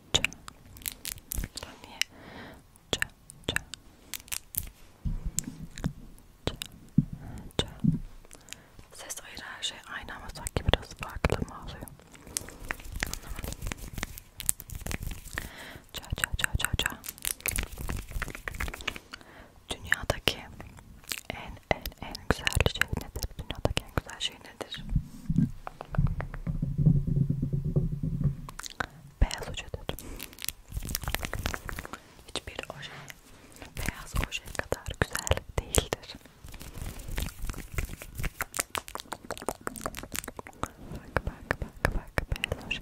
ça ça niye ça ça ça ses ayrı her şey aynı ama sanki biraz farklı mı oluyor anlamadım ça ça ça ça ça dünyadaki en en en güzel şey nedir dünyadaki en güzel şey nedir? Beyaz ojedir. Hiçbir oje beyaz oje kadar güzel değildir. Bak bak bak bak beyaz oje.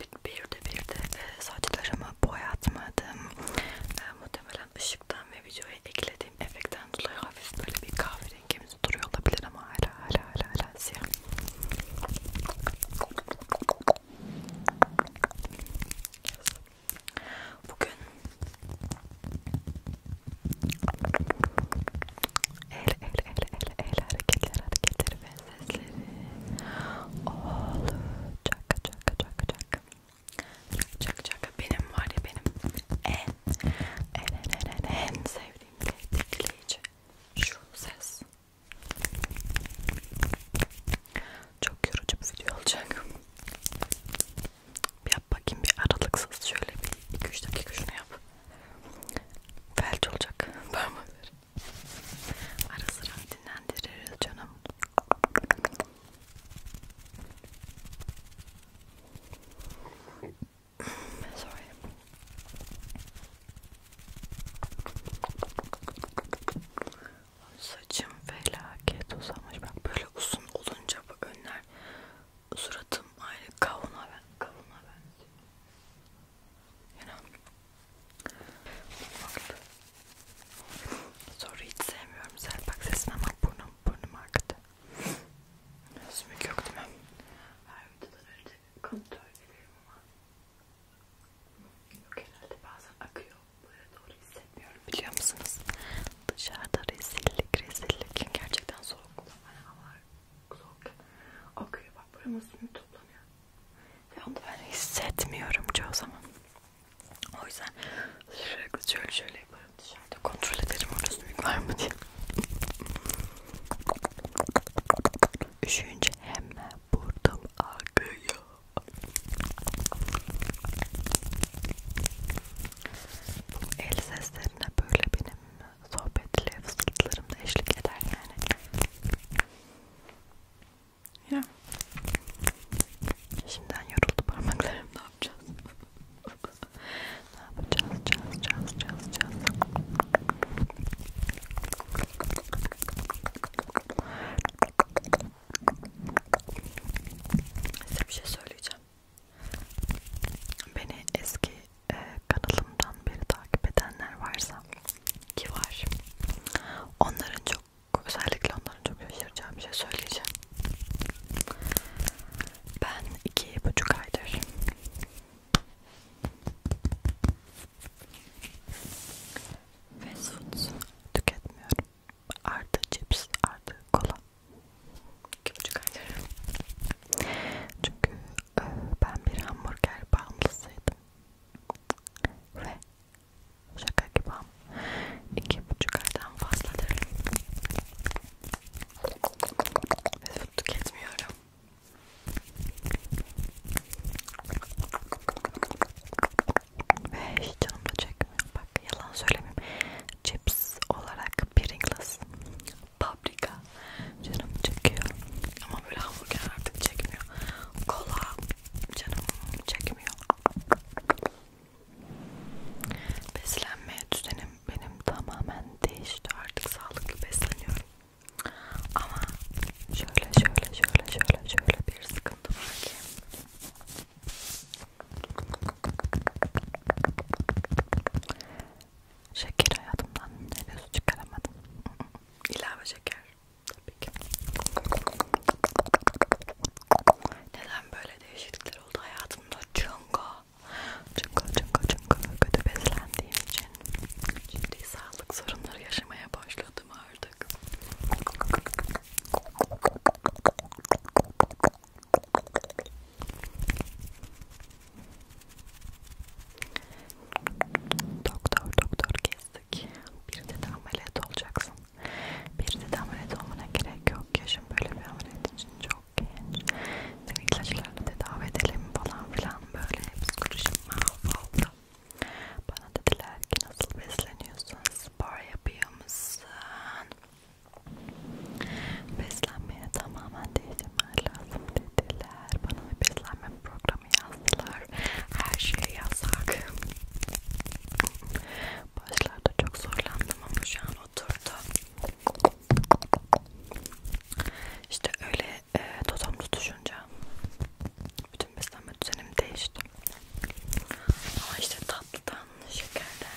bir, bir de bir de e, saçlarımı boyatmadım. E, muhtemelen ışıktan ve videoya eklediğim efektten dolayı hafif böyle bir kahverengimiz duruyor olabilir ama hala hala hala hala siyah. Yes. Bugün el el el el el hareketler hareketleri ve sesleri olacak çaka çaka çaka çaka çaka benim var ya benim en en en en en sevdiğim tetikleyici şu ses çok yorucu bir video olacak bir yap bakayım bir aralıksız şöyle bir 2-3 dakika şunu yap Felç olacak parmakları. Ara sıra dinlendiririz canım. Sorry. Saçım felaket uzamış. Bak böyle uzun olunca bu önler suratım aynı kavuna ben kavuna benziyor. You know. Mutfaklı. Soru hiç sevmiyorum. Selpak sesine bak burnum. Burnum akıdı. Sümük yok değil mi? Her videoda önce kontrol ediyorum ama. Yok herhalde bazen akıyor. Buraya doğru hissetmiyorum. Biliyor musunuz? Dışarıda rezillik rezillik. Gerçekten soğuk. Hani hava Kulak. Akıyor bak buramın suyu toplanıyor. Ve onu ben hissetmiyorum çoğu zaman. O yüzden sürekli şöyle şöyle yaparım dışarıda kontrol ederim orada sümük var mı diye. Üşüyünce hemen burnum akıyor. Bu el seslerine böyle benim sohbetle fısıltılarım da eşlik eder yani. Ya. Şimdiden yoruldu parmaklarım. Ne yapacağız? ne yapacağız? Caz, caz, caz, caz. Size bir şey söyleyeceğim. Beni eski e, kanalımdan beri takip edenler varsa ki var onların çok özellikle onların çok şaşıracağım bir şey söyleyeceğim ben iki buçuk aydır fast food tüketmiyorum artı cips artı kola iki buçuk aydır çünkü ben bir hamburger bağımlısıydım ve şaka gibi iki buçuk aydan fazladır süt tüketmiyorum ve hiç canım da çekmiyor bak yalan söylemeyeyim cips olarak Pringles paprika canım çekiyor ama böyle hamburger artık çekmiyor kola canım çekmiyor beslenme düzenim benim tamamen değişti artık sağlıklı besleniyorum ama şöyle şöyle şöyle şöyle şöyle bir sıkıntı var ki Şeker hayatımdan henüz çıkaramadım. İlave şeker. Tabii ki. Neden böyle değişiklikler oldu hayatımda? Çünkü, çünkü, çünkü, çünkü kötü beslendiğim için ciddi sağlık sorunları yaşamaya başladım artık. Doktor doktor gezdik. Bir de ameliyat olacaksın. Bir de ameliyat olmana gerek yok. Yaşım böyle bir ameliyat için çok genç. Seni ilaçlarla tedavi edelim falan filan böyle psikolojim mahvoldu. Bana dediler ki nasıl besleniyorsun, spor yapıyor musun? Beslenmeye tamamen değiştirmen lazım dediler. Bana bir beslenme programı yazdılar. Her şey yasak. Başlarda çok zorlandım ama şu an oturdu. İşte öyle e, totem tutuşunca bütün beslenme düzenim değişti. Ama işte tatlıdan, şekerden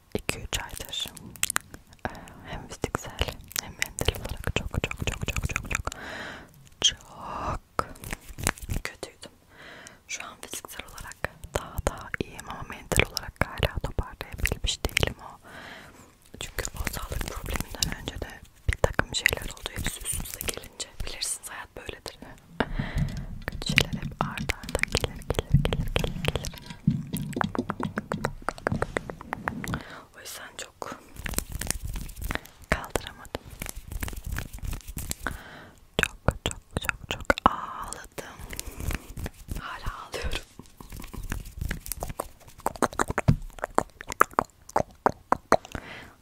2-3 aydır ee, hem fiziksel hem mental olarak çok çok çok çok çok çok çok kötüydüm. Şu an fiziksel olarak daha daha iyiyim ama mental olarak hala toparlayabilmiş değilim o. Çünkü o sağlık probleminden önce de bir takım şeyler oldu. Hepsi üst üste gelince bilirsiniz hayat böyledir. Kötü şeyler hep arda arda gelir gelir gelir gelir gelir. O yüzden çok kaldıramadım. Çok çok çok çok ağladım. Hala ağlıyorum.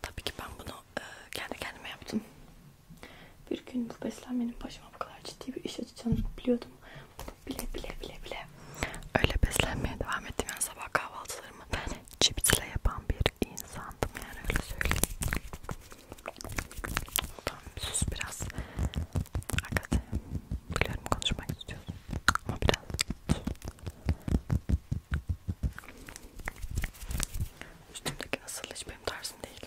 Tabii ki ben bunu e, kendi kendime yaptım. Bir gün bu beslenmenin başıma bu kadar ciddi bir iş açacağını biliyordum bile bile bile bile öyle beslenmeye devam ettim yani sabah kahvaltılarımı ben cipsle yapan bir insandım yani öyle söyleyeyim. Tamam sus biraz. Hakikaten biliyorum konuşmak istiyorsun ama biraz sus. Üstümdeki asıl hiç benim tarzım değil.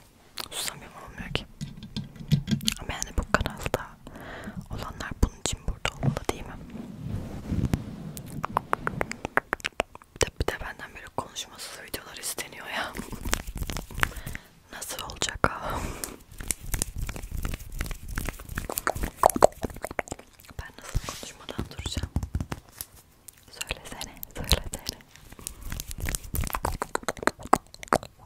Susamıyorum olmuyor ki. Ama yani bu kanalda olanlar bunun için burada olmalı değil mi? Bir de benden böyle konuşmasız videolar isteniyor ya. Nasıl olacak ha? Ben nasıl konuşmadan duracağım? Söylesene, söylesene.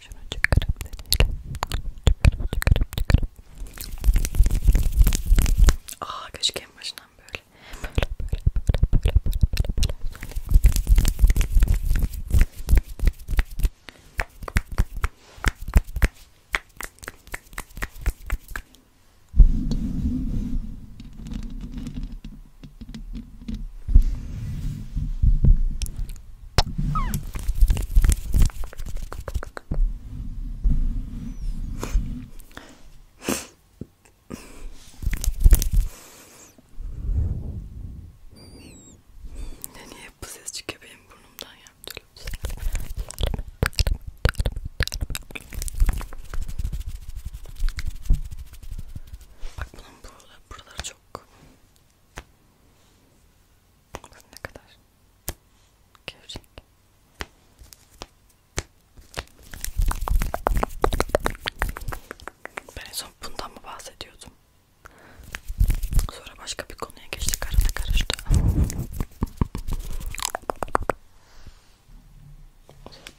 Şunu çıkarıp deneyelim. Çıkarıp çıkarıp çıkarıp. Aa keşke en başından böyle. Böyle böyle böyle böyle böyle böyle. Böyle ne niye bu ses çıkıyor benim burnumdan ya? Bak bunun buraları, buraları çok ne kadar görecek ben en son bundan mı bahsediyordum sonra başka bir konuya geçtik arada karıştı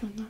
bundan mı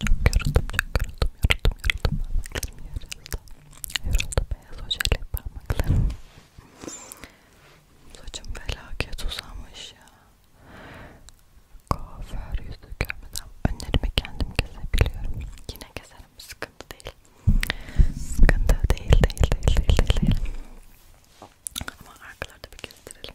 Çok yoruldum, çok yoruldum, yoruldum, yoruldum. Parmaklarım yoruldu. Yoruldu beyaz ojeyle parmaklarım. Saçım felaket uzamış ya. Kuaför yüzü görmeden önlerimi kendim kesebiliyorum. Yine keserim, sıkıntı değil. Sıkıntı değil, değil, değil, değil, değil. değil. Ama arkalarda bir kestirelim.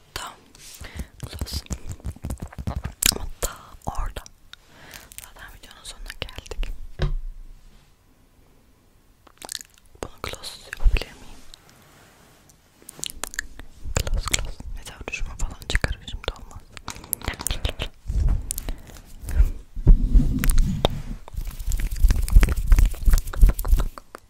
hatta sus hatta orada zaten videonun sonuna geldik bunu close yapabilir miyim? close close mesela düşme falan çıkarır şimdi olmaz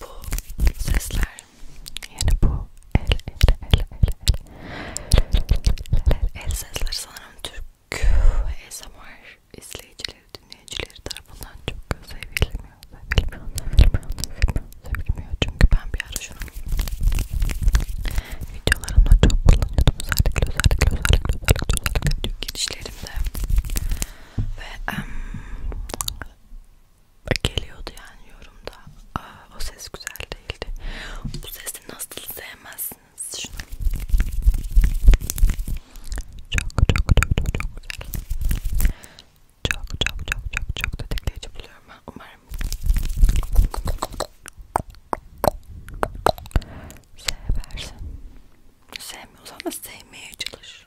Bu sesler yani bu el el el el el el el el sesler sanırım Türk ASMR izleyici dinleyicileri, dinleyicileri tarafından çok sevilmiyor, sevilmiyor, sevilmiyor, sevilmiyor, sevilmiyor. Çünkü ben bir ara şunu videolarımda çok kullanıyordum. Özellikle, özellikle, özellikle, özellikle, özellikle video girişlerimde. Ve um, geliyordu yani yorumda. Aa, o ses güzel değildi. Bu sesi nasıl sevmezsiniz? Şunu. Çok, çok çok çok çok güzel. Çok çok çok çok çok tetikleyici buluyorum ben umarım. Seversin. Sevmiyorsan da sevmeye çalış.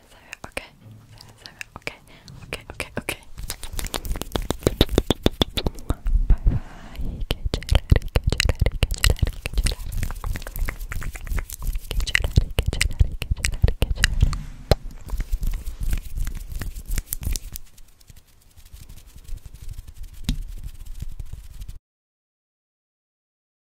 seven, okay, okay, okay, okay, okay. Bye